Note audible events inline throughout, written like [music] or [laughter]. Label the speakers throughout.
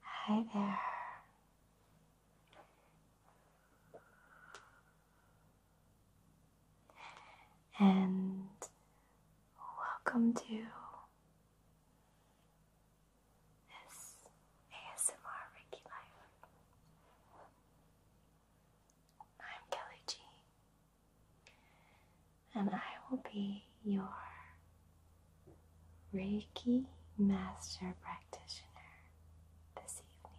Speaker 1: Hi there. And welcome to this ASMR Reiki Life. I'm Kelly G, and I will be your Reiki Master Practitioner this evening.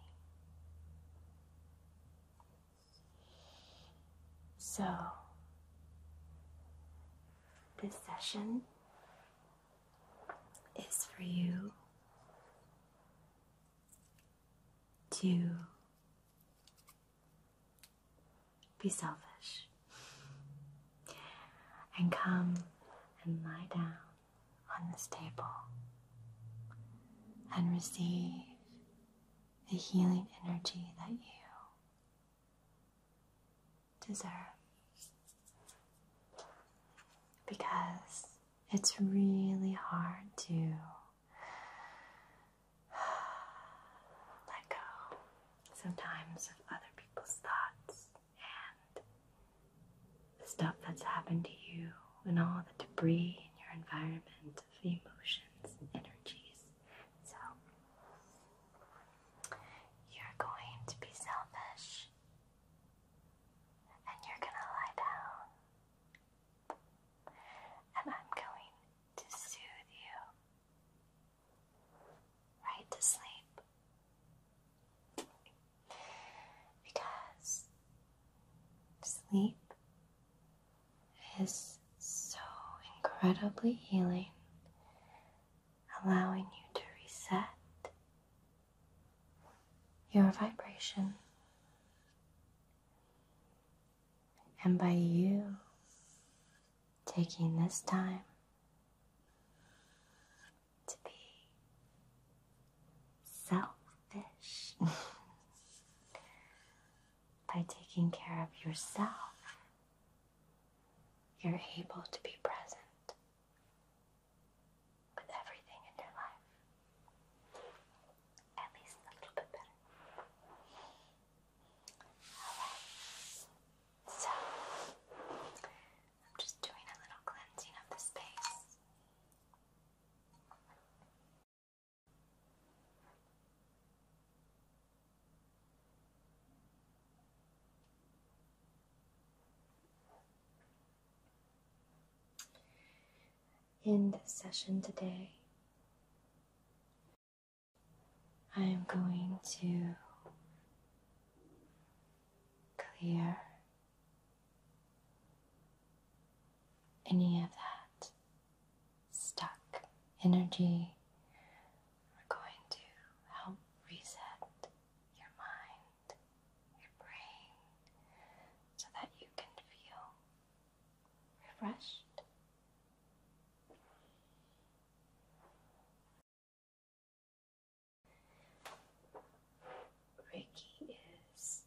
Speaker 1: So, this session is for you to be selfish and come and lie down on this table and receive the healing energy that you deserve because it's really hard to [sighs] let go sometimes of other people's thoughts and the stuff that's happened to you and all the debris in your environment of emotions, energies. So you're going to be selfish and you're going to lie down. And I'm going to soothe you right to sleep. Because sleep is so incredibly healing, allowing you to reset your vibration. And by you taking this time to be selfish [laughs] by taking care of yourself. You're able to be present with everything in your life. At least a little bit better. So, I'm just doing a little cleansing of the space. In this session today, I am going to clear any of that stuck energy. We're going to help reset your mind, your brain, so that you can feel refreshed. Ricky is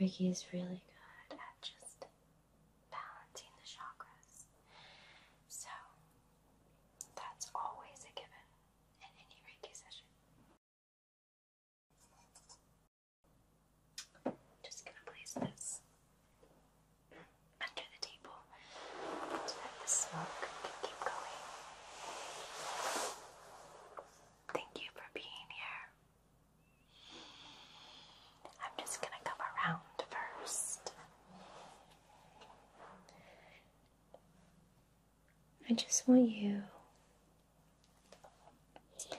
Speaker 1: Ricky is really good at just balancing the chakras. So that's always a given in any Reiki session. Just gonna place this under the table so that the smoke can keep going. Thank you for being here. I'm just going to come around first. I just want you to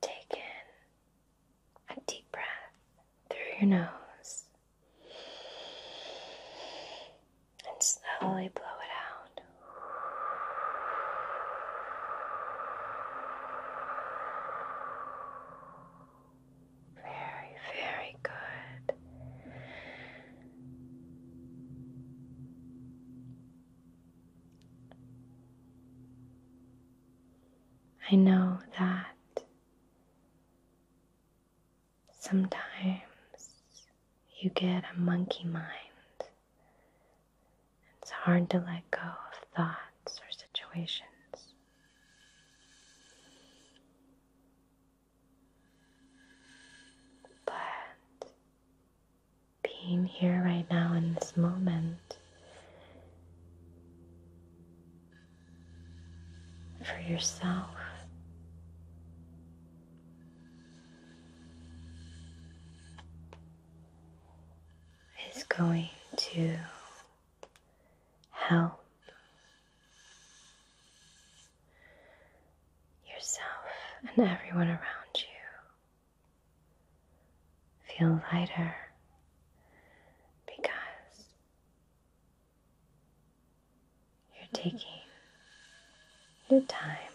Speaker 1: Take in a deep breath through your nose and slowly blow it out. Very, very good. I know that sometimes you get a monkey mind. It's hard to let go of thoughts or situations. But being here right now in this moment for yourself. Is going to help yourself and everyone around you feel lighter because you're taking your time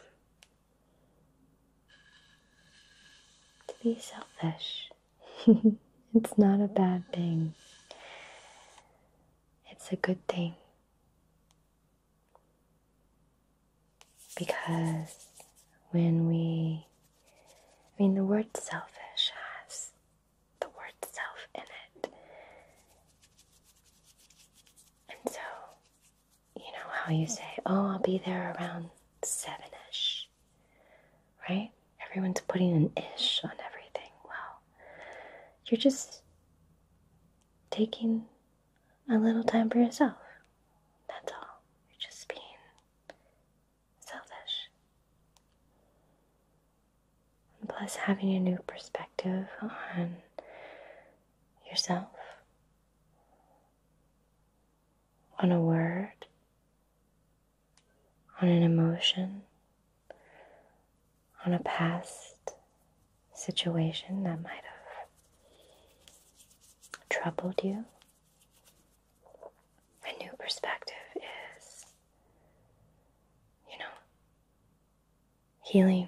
Speaker 1: to be selfish. [laughs] it's not a bad thing. It's a good thing. Because when we, I mean, the word selfish has the word self in it. And so, you know how you say, oh, I'll be there around seven ish, right? Everyone's putting an ish on everything. Well, you're just taking a little time for yourself. That's all. You're just being selfish. plus, having a new perspective on yourself, on a word, on an emotion, on a past situation that might have troubled you. A new perspective is, you know, healing.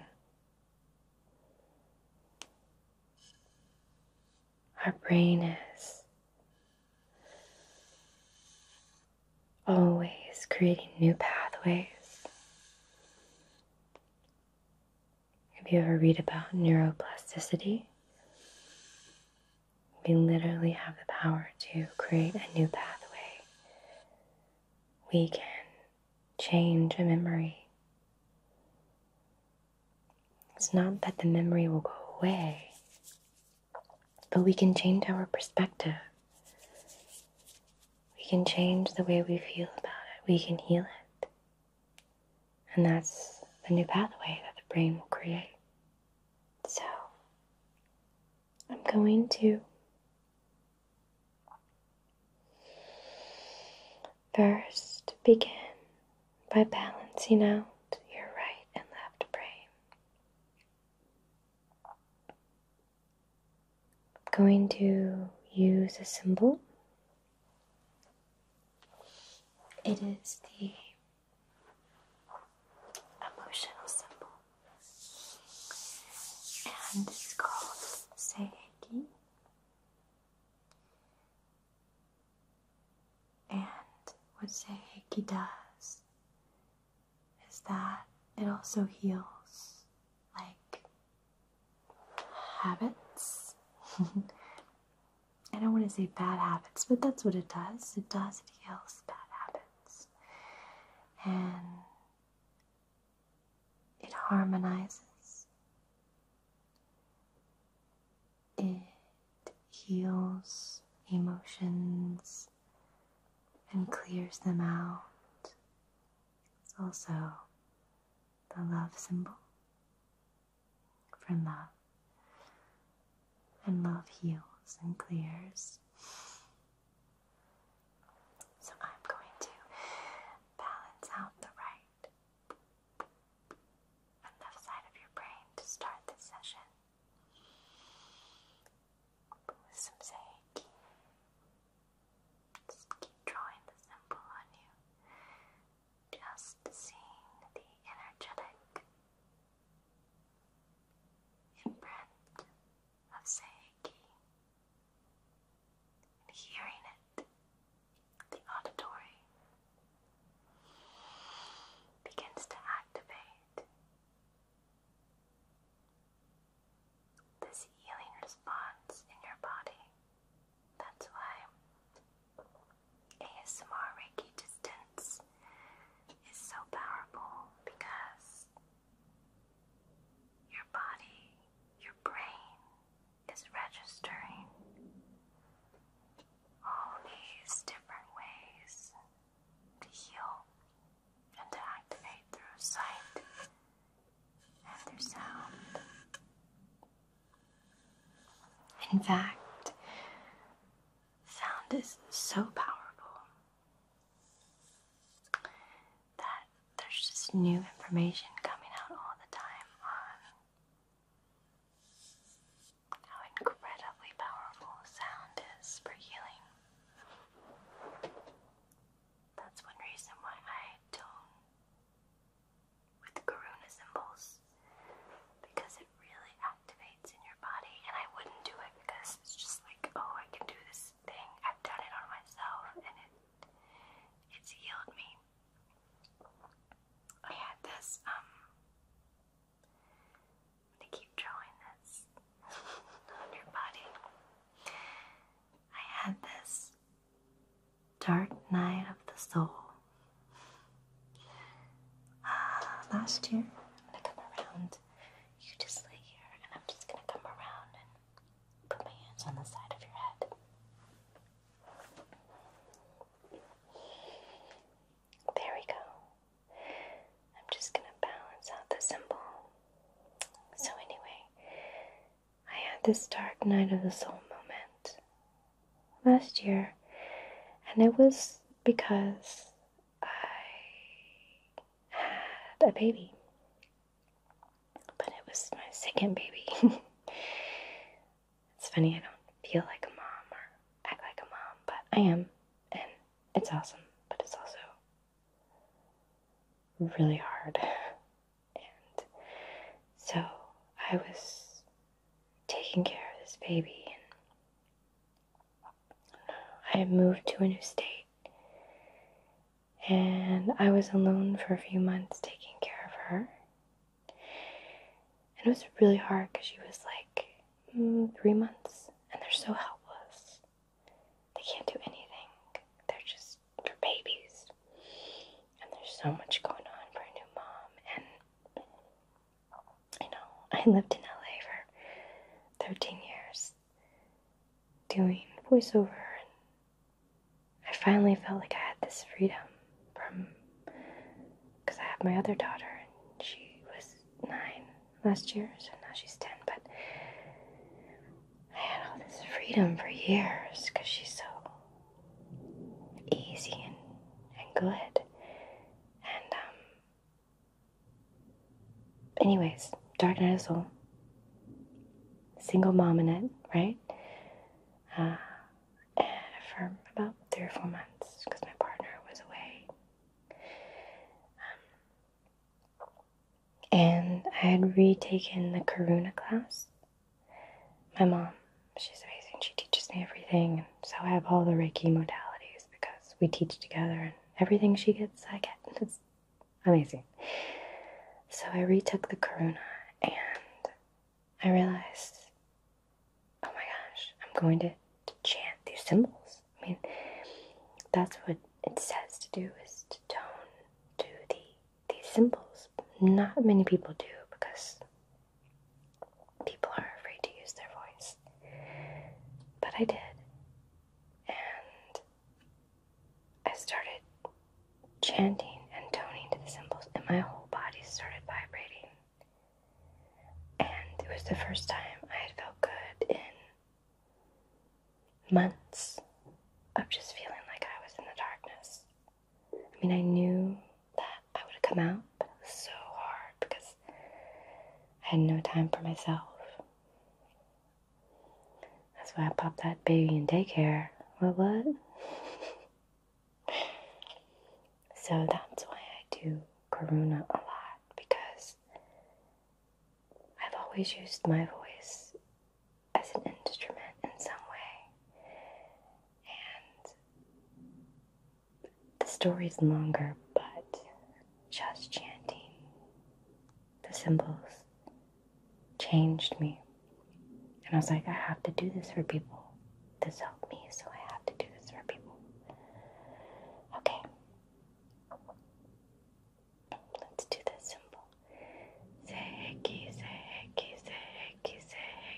Speaker 1: Our brain is always creating new pathways have you ever read about neuroplasticity? We literally have the power to create a new pathway. We can change a memory. It's not that the memory will go away, but we can change our perspective. We can change the way we feel about it. We can heal it. And that's the new pathway that the brain will create. So, I'm going to first begin by balancing out your right and left brain going to use a symbol. It is the emotional symbol, and it's called Seiki. And what Seiki does is that it also heals like habits. [laughs] I don't want to say bad habits, but that's what it does. It does, it heals bad habits. And it harmonizes, it heals emotions and clears them out. It's also the love symbol for love. And love heals and clears. So I'm going to balance out the right and left side of your brain to start this session with some sage. Just keep drawing the symbol on you. Just seeing the energetic imprint of Seiki and hearing it, the auditory begins to activate this healing response in your body. That's why ASMR Reiki distance is so powerful because your body, your brain is registering all these different ways to heal and to activate through sight after sound. In fact, sound is so powerful that there's just new information coming out all the time on how incredibly powerful sound is for healing. That's one reason why I tone with the Karuna symbols because it really activates in your body. And I wouldn't do it because it's just like, oh, I can do this thing. I've done it on myself, and it it's healed me. I had this. I'm um, gonna keep drawing this [laughs] on your body. I had this dark night of the soul. Uh, last year, i around. You just lay here, and I'm just gonna come around and put my hands on the side of your head. There we go. I'm just gonna balance out the symbol. So, anyway, I had this dark night of the soul moment last year, and it was because I had a baby. But it was my second baby. [laughs] it's funny, I don't feel like a mom or act like a mom, but I am, and it's awesome, but it's also really hard. [laughs] so I was taking care of this baby, and I moved to a new state. And I was alone for a few months taking care of her. And it was really hard because she was like mm, three months, and they're so helpless. They can't do anything, they're just for babies. And there's so much going on for a new mom. And, you know, I lived in LA for 13 years doing voiceover, and I finally felt like I had this freedom from because I have my other daughter, and she was nine last year, so now she's 10. But I had all this freedom for years because she's so easy and, and good. And, um, anyways, Dark Night of Soul. Single mom in it, right? Uh, for about three or four months because my partner was away. Um, and I had retaken the Karuna class my mom. She's amazing. She teaches me everything. And so I have all the Reiki modalities because we teach together and everything she gets, I get. [laughs] It's amazing. So I retook the Karuna and I realized, oh my gosh, I'm going to, to chant these symbols. I mean, that's what it says to do is to tone to the these symbols. Not many people do because people are afraid to use their voice. But I did. And I started chanting and toning to the symbols, and my whole body started vibrating. And it was the first time I had felt good in months of just feeling like I was in the darkness. I mean, I knew that I would come out, but it was so hard because I had no time for myself. That's why I popped that baby in daycare. What, what? [laughs] so that's why I do Karuna a lot because I've always used my voice as an instrument in some way. And the is longer, but just chanting the symbols changed me. And I was like, I have to do this for people. This helped me, so I have to do this for people. Okay. Let's do this symbol. Seheki, seheki, seheki, seheki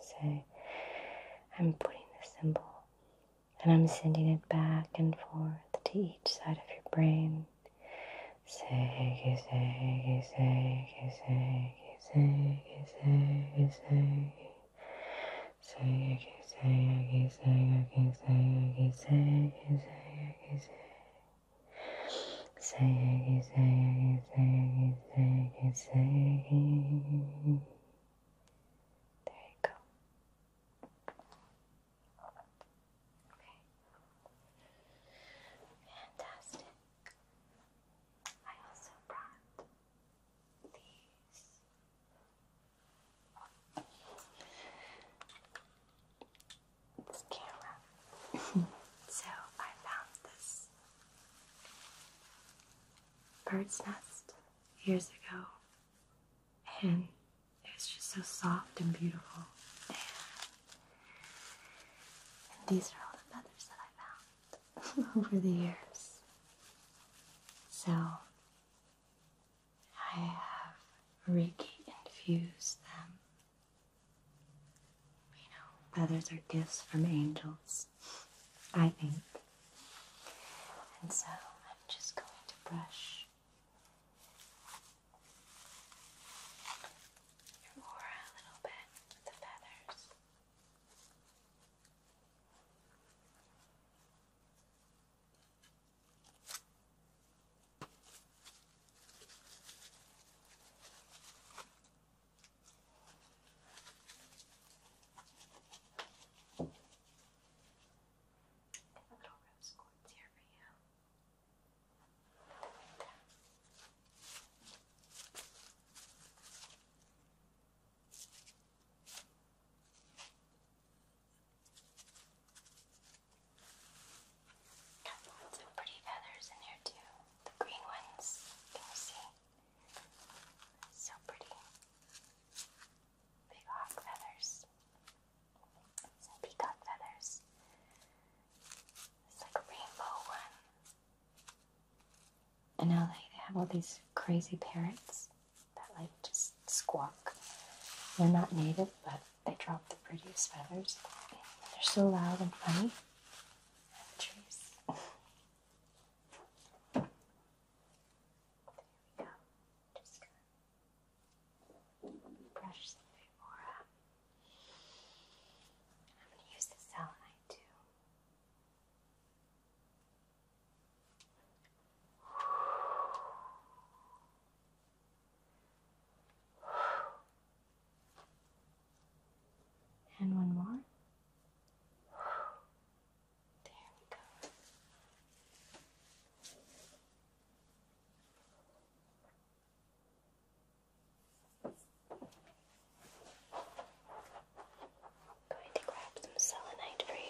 Speaker 1: So I'm putting the symbol and I'm sending it back and forth to each side of your brain.
Speaker 2: Seki, seki, seki, seki, seki, seki, seki. Seki, seki, seki, seki, seki, seki, seki. Seki, seki, seki, Seggy, seggy. There you go.
Speaker 1: Okay. Fantastic. I also brought these. This camera. [laughs] so I found this bird's nest years ago, and it was just so soft and beautiful. And, these are all the feathers that I found [laughs] over the years. So I have Reiki infused them. You know, feathers are gifts from angels. I think. And so I'm just going to brush your aura a little bit with the feathers. Little rose here for you. Got lots pretty feathers in here too. The green ones, can you see? So pretty. Big hawk feathers. peacock feathers. It's like a rainbow one. And now they have all these crazy parrots that like just squawk. They're not native, but they drop the prettiest feathers. They're so loud and funny. [laughs] trees. There we go. Just gonna brush some of your I'm gonna use the selenite too. And one more. There we go. Going to grab some selenite for you.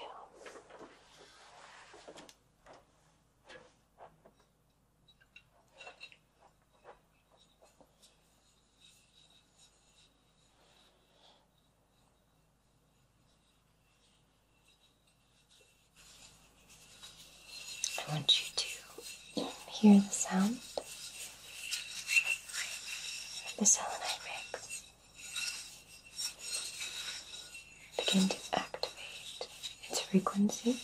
Speaker 1: I want you to hear the sound of the selenite mix. Begin to activate its frequency.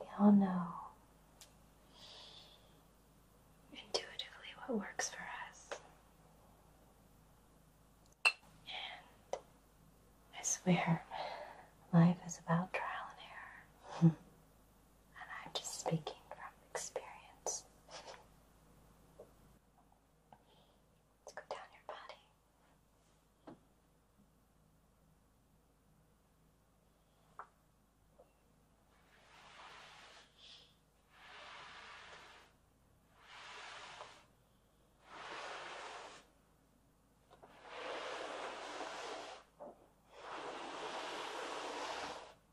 Speaker 1: We all know intuitively what works for us. And I swear, life is about trial and error. [laughs] and I'm just speaking from experience. Let's go down your body.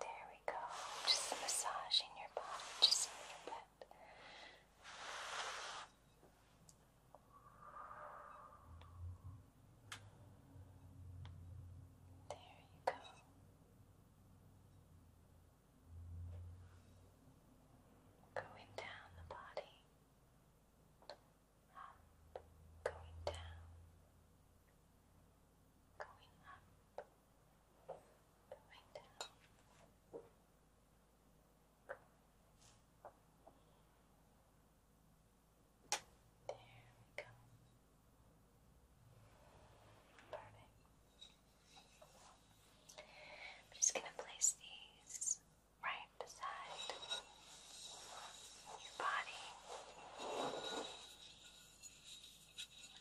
Speaker 1: There we go. Just massaging
Speaker 2: your body just a little bit. There you go. Going down the body. Up,
Speaker 1: going down going up, going down. There we go. Perfect. I'm just going to place these right beside your body.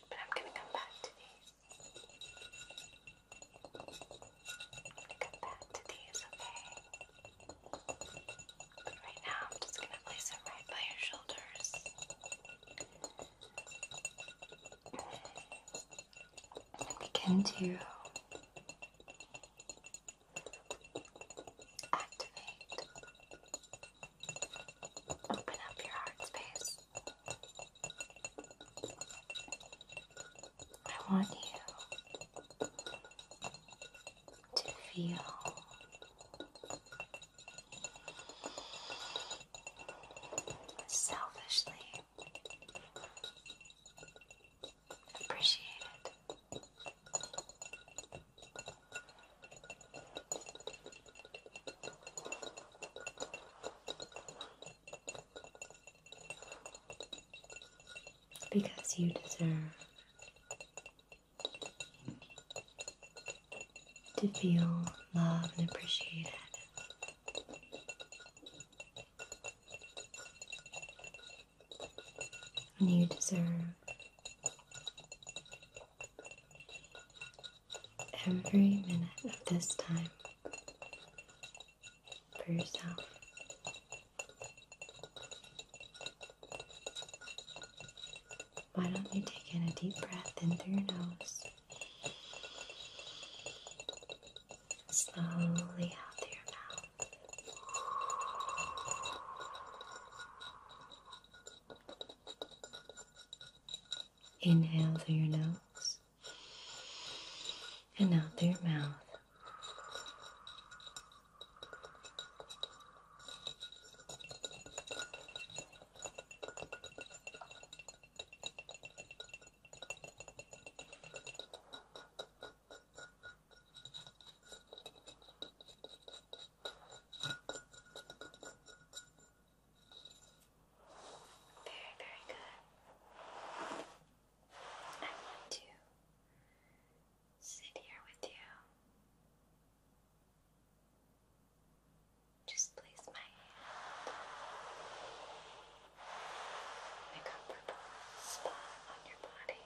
Speaker 1: But I'm going to come back to these. I'm going to come back to these, okay? But right now, I'm just going to place it right by your shoulders. And begin to activate Open up your heart space. I want you to feel selfishly appreciated. Because you deserve to feel loved and appreciated. And you deserve every minute of this time for yourself. Why don't you take in a deep breath in through your nose? Slowly out through your mouth. Inhale through your nose and out through your mouth. Very, very good. I want to sit here with you. Just place my hand in a comfortable spot on your body.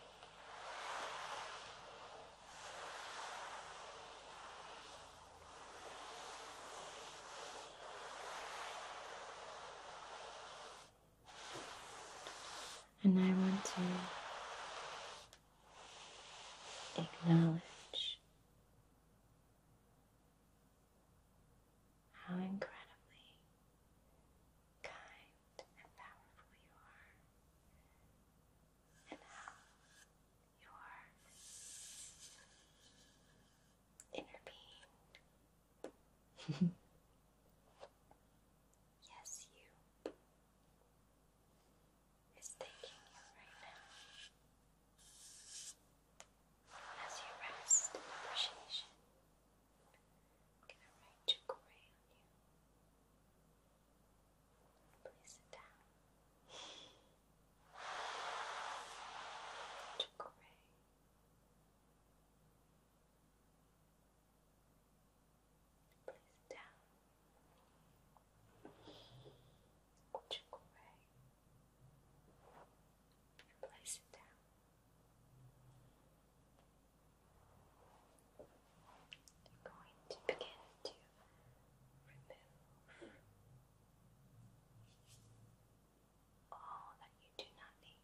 Speaker 1: And I want to acknowledge how incredibly kind and powerful you are, and how you're being. [laughs] yes, you is thanking you right now. As you rest appreciation, I'm gonna write on you.
Speaker 2: Please sit down to gray. Place down to gray. Place it down.
Speaker 1: I'm going to begin to remove all that you do not need.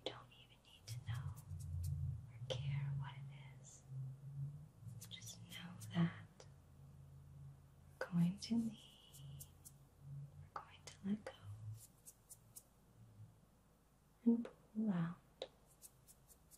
Speaker 1: You don't even need to know or care what it is. Just know that we're going to need, we're going to let go and pull out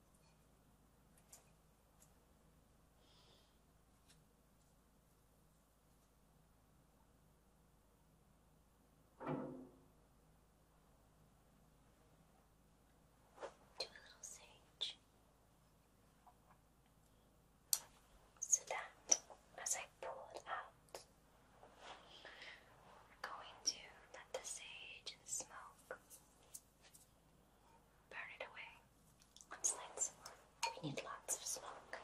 Speaker 1: Do a little sage so that as I pull it out, we're going to let the sage smoke Burn it away. Let's light some We need lots of smoke.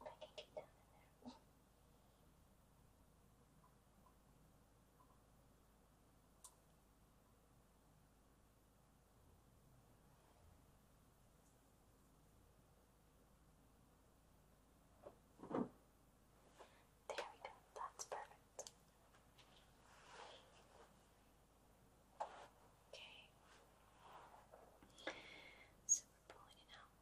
Speaker 1: I can get down in there. There we go, that's perfect. Okay. So we're pulling it out.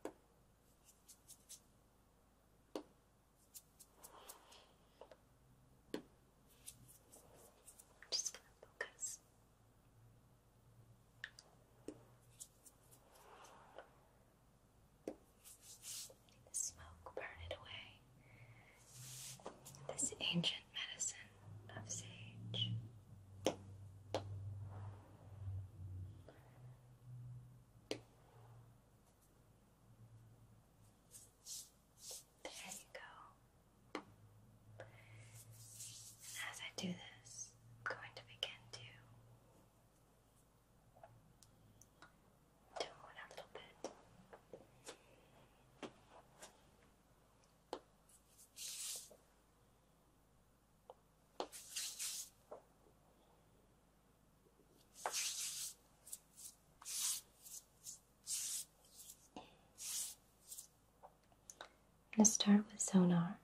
Speaker 1: I'm just gonna focus. Letting the smoke burn it away. This ancient medicine of sage.
Speaker 2: There you go. And
Speaker 1: as I do this, I'm going to begin to tone it a little bit. Let's start with sonar.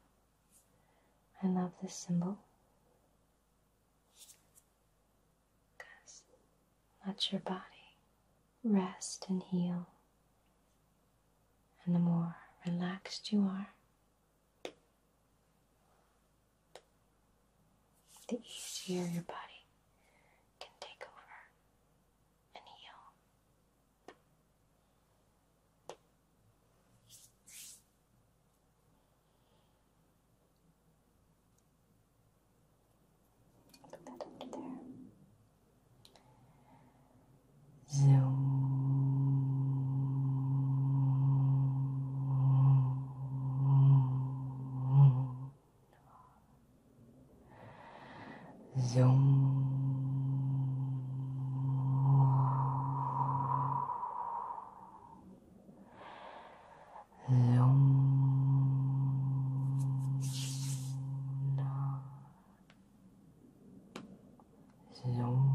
Speaker 1: I love this symbol because let your body rest and heal. And the more relaxed you are, the easier your body can take over and heal.
Speaker 2: Put that under there. So. Zoom. Zoom.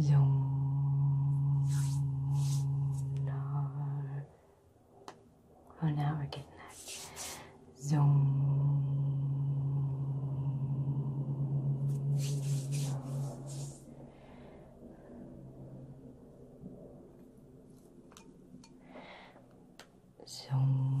Speaker 2: Zoom.
Speaker 1: Oh, now we're getting that. Zoom.
Speaker 2: Zoom.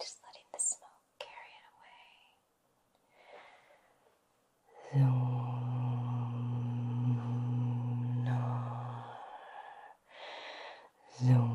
Speaker 2: Just letting the smoke carry it away. Zoom, no. Zoom,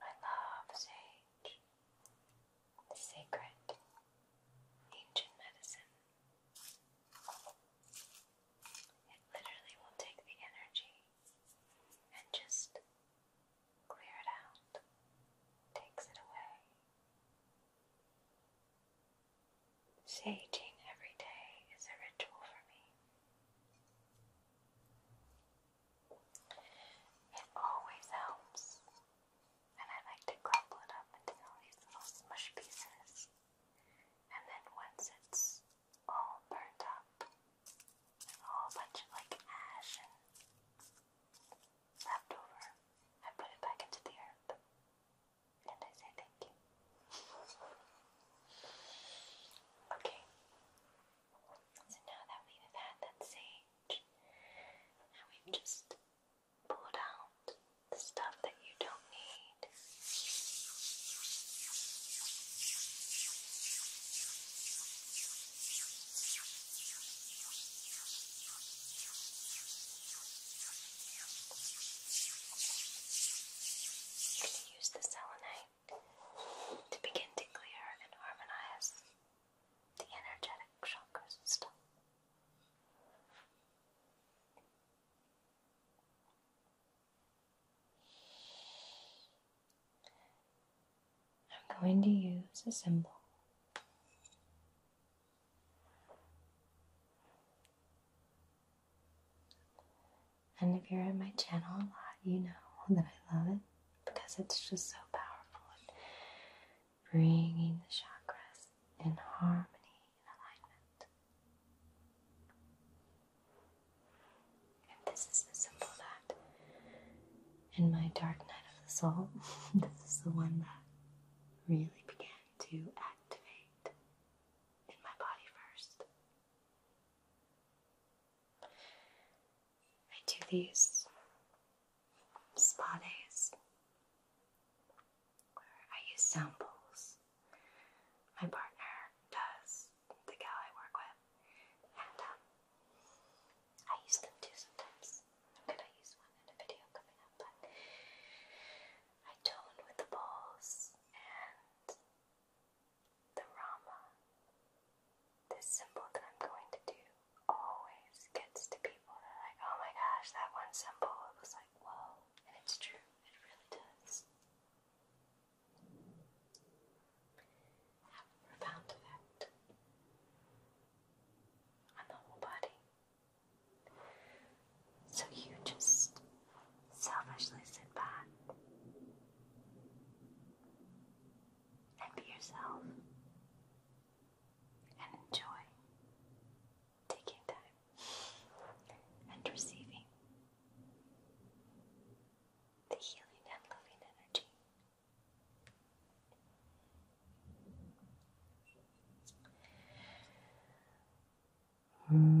Speaker 1: I love sage, the sacred ancient medicine. It literally will take the energy and just clear it out, takes it away. Saging every day is a ritual for me. It always helps, and I like to crumble it up into all these little smush pieces. And then once it's all burnt up, and all a bunch of like ash and left I put it back into the earth,
Speaker 2: and I say thank you. Okay,
Speaker 1: so now that we've had that sage,
Speaker 2: and we've just pulled out the stuff that you don't need.
Speaker 1: You're going to use the selenite to begin to clear and harmonize the energetic chakra system. I'm going to use a symbol. And if you're in my channel a lot, you know that I love it because it's just so powerful at bringing the chakras in harmony and alignment. And this is the symbol that in my dark night of the soul, [laughs] this is the one that really began to activate in my body first. I do these spa days where I use samples. My partner does, the gal I work with, and um, I use them too sometimes. I'm gonna use one in a video coming up, but I tone with the balls and the Rama. This symbol that I'm going to do always gets to people that are like, oh my gosh, that one symbol it was like, whoa. And it's true, it really does. Have a profound effect on the whole body. So you just selfishly sit back and be yourself and enjoy taking time and receiving the healing and loving energy.
Speaker 2: -hmm.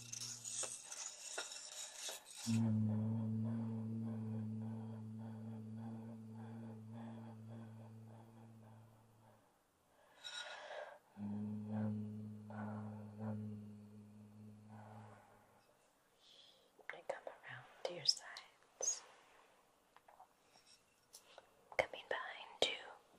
Speaker 2: And come around to your sides. Coming behind you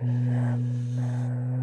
Speaker 2: Ram, ram,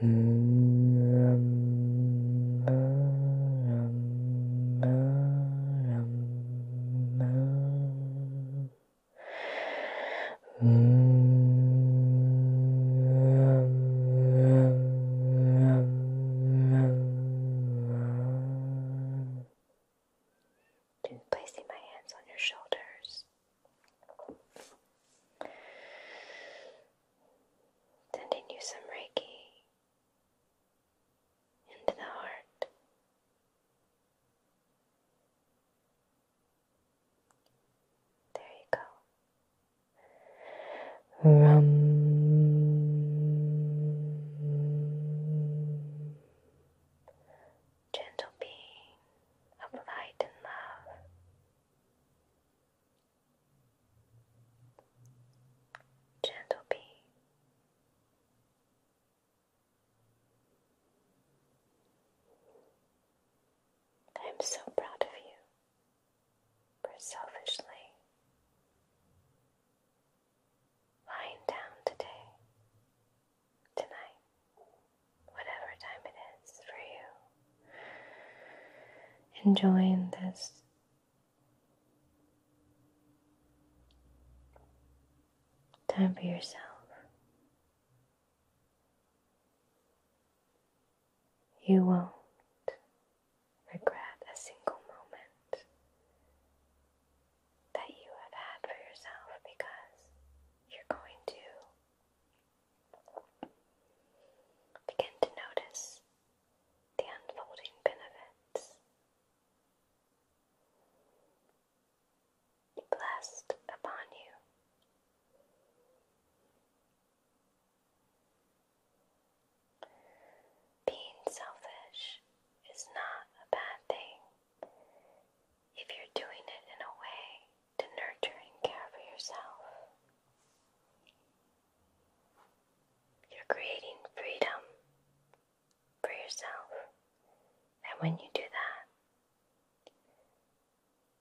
Speaker 2: Then placing my hands on your shoulders
Speaker 1: sending you some Reiki into the heart.
Speaker 2: There you go. Gentle being of light and love,
Speaker 1: Gentle bee. I'm so proud of you selfishly lying down today, tonight, whatever time it is for you, enjoying this Time for yourself. You won't regret a single moment that you have had for yourself because you're going to begin to notice the unfolding benefits. Blessed upon you. Being selfish is not a bad thing if you're doing it in a way to nurture and care for yourself. You're creating freedom for yourself. And when you do that,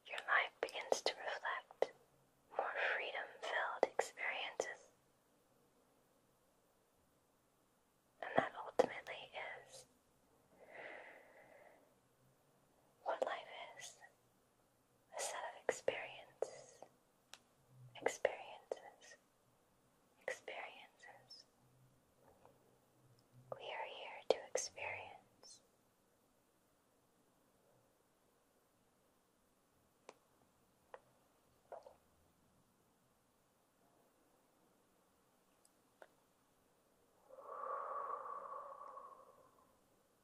Speaker 1: your life begins to reflect more freedom filled experiences. And that ultimately is what life is a set of experiences, experiences, experiences. We are here to experience.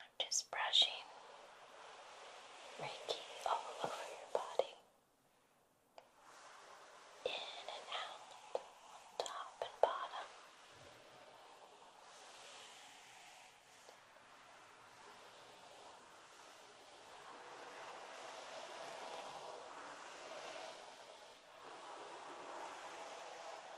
Speaker 1: I'm just brushing Reiki all over your body, in and out, top and bottom.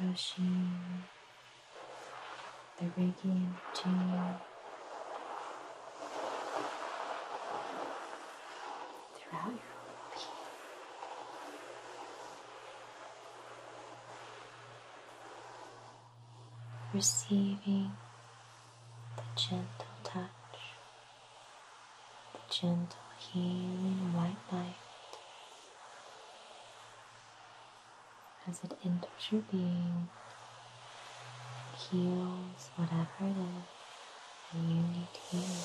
Speaker 2: Brushing the Reiki energy throughout your whole
Speaker 1: receiving the gentle touch, the gentle healing white light as it enters your being heals whatever it is that you need healing.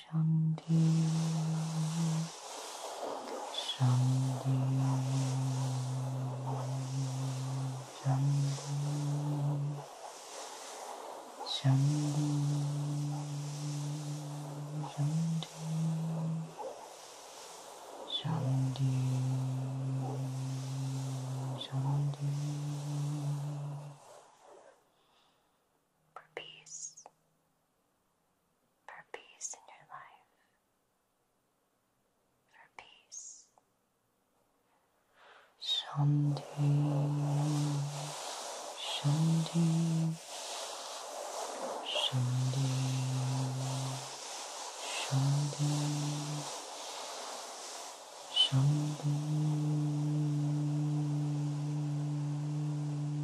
Speaker 2: Shanti, Shanti, Shanti, Shanti, Shanti, Shanti, Shanti. For peace, for peace in your life, for peace. Shanti, Shanti, Shanti, Shanti, Shanti.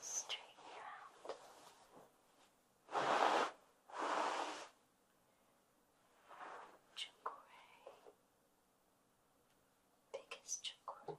Speaker 1: straighten you out. Chakra, biggest chakra. Chakra,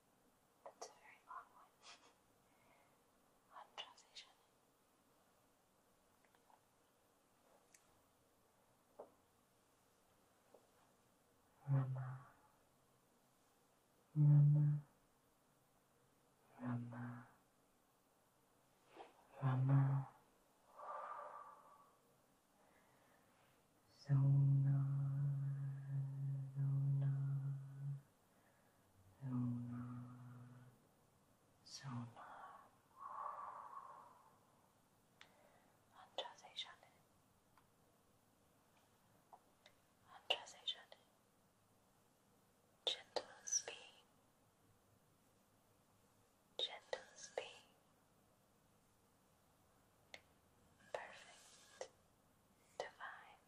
Speaker 2: That's a very long one. [laughs] One Rama, Rama, Rama, Rama. Zona, zona, Soma, Soma.
Speaker 1: Andra Sejane. Andra Sejane. Gentle speed. Gentle speed. Perfect. Divine.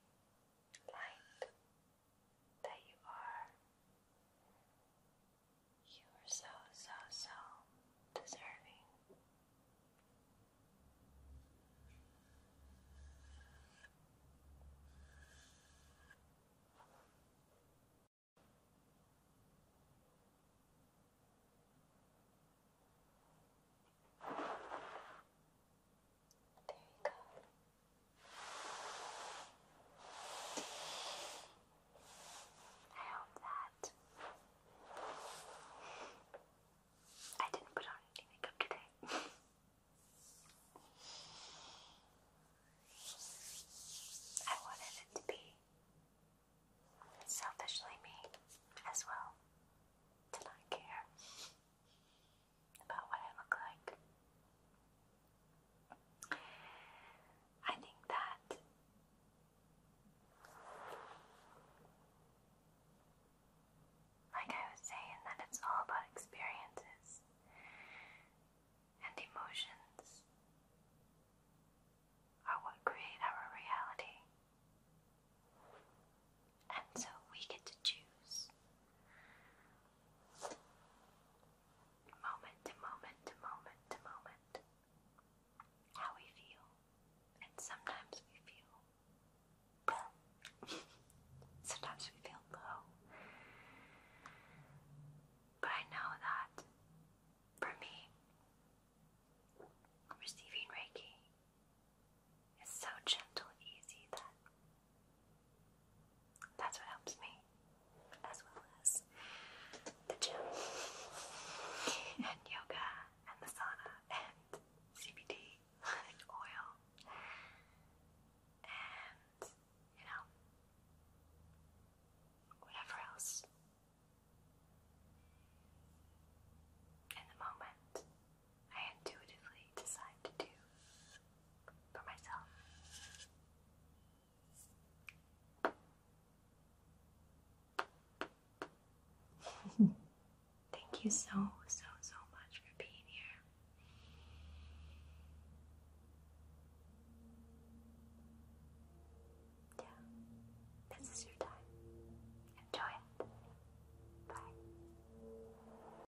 Speaker 1: Light that you are. You are so, so, so deserving. There you go. I hope that I didn't put on any makeup today. I wanted it to be selfishly me as well, to not care about what I look like. I think that like I was saying that it's all about experiences and emotions are what create our reality and so we get to choose moment to moment to moment to moment how we feel, and sometimes we feel [laughs] sometimes we feel low. But I know that for me, receiving Reiki is so gentle and easy that that's what helps me, as well as the gym [laughs] and yoga and the sauna and CBD and oil and you know whatever else in the moment I intuitively decide to do for myself. [laughs] Thank you so, so, so much for being here.
Speaker 2: Yeah, this is your time. Enjoy it. Bye.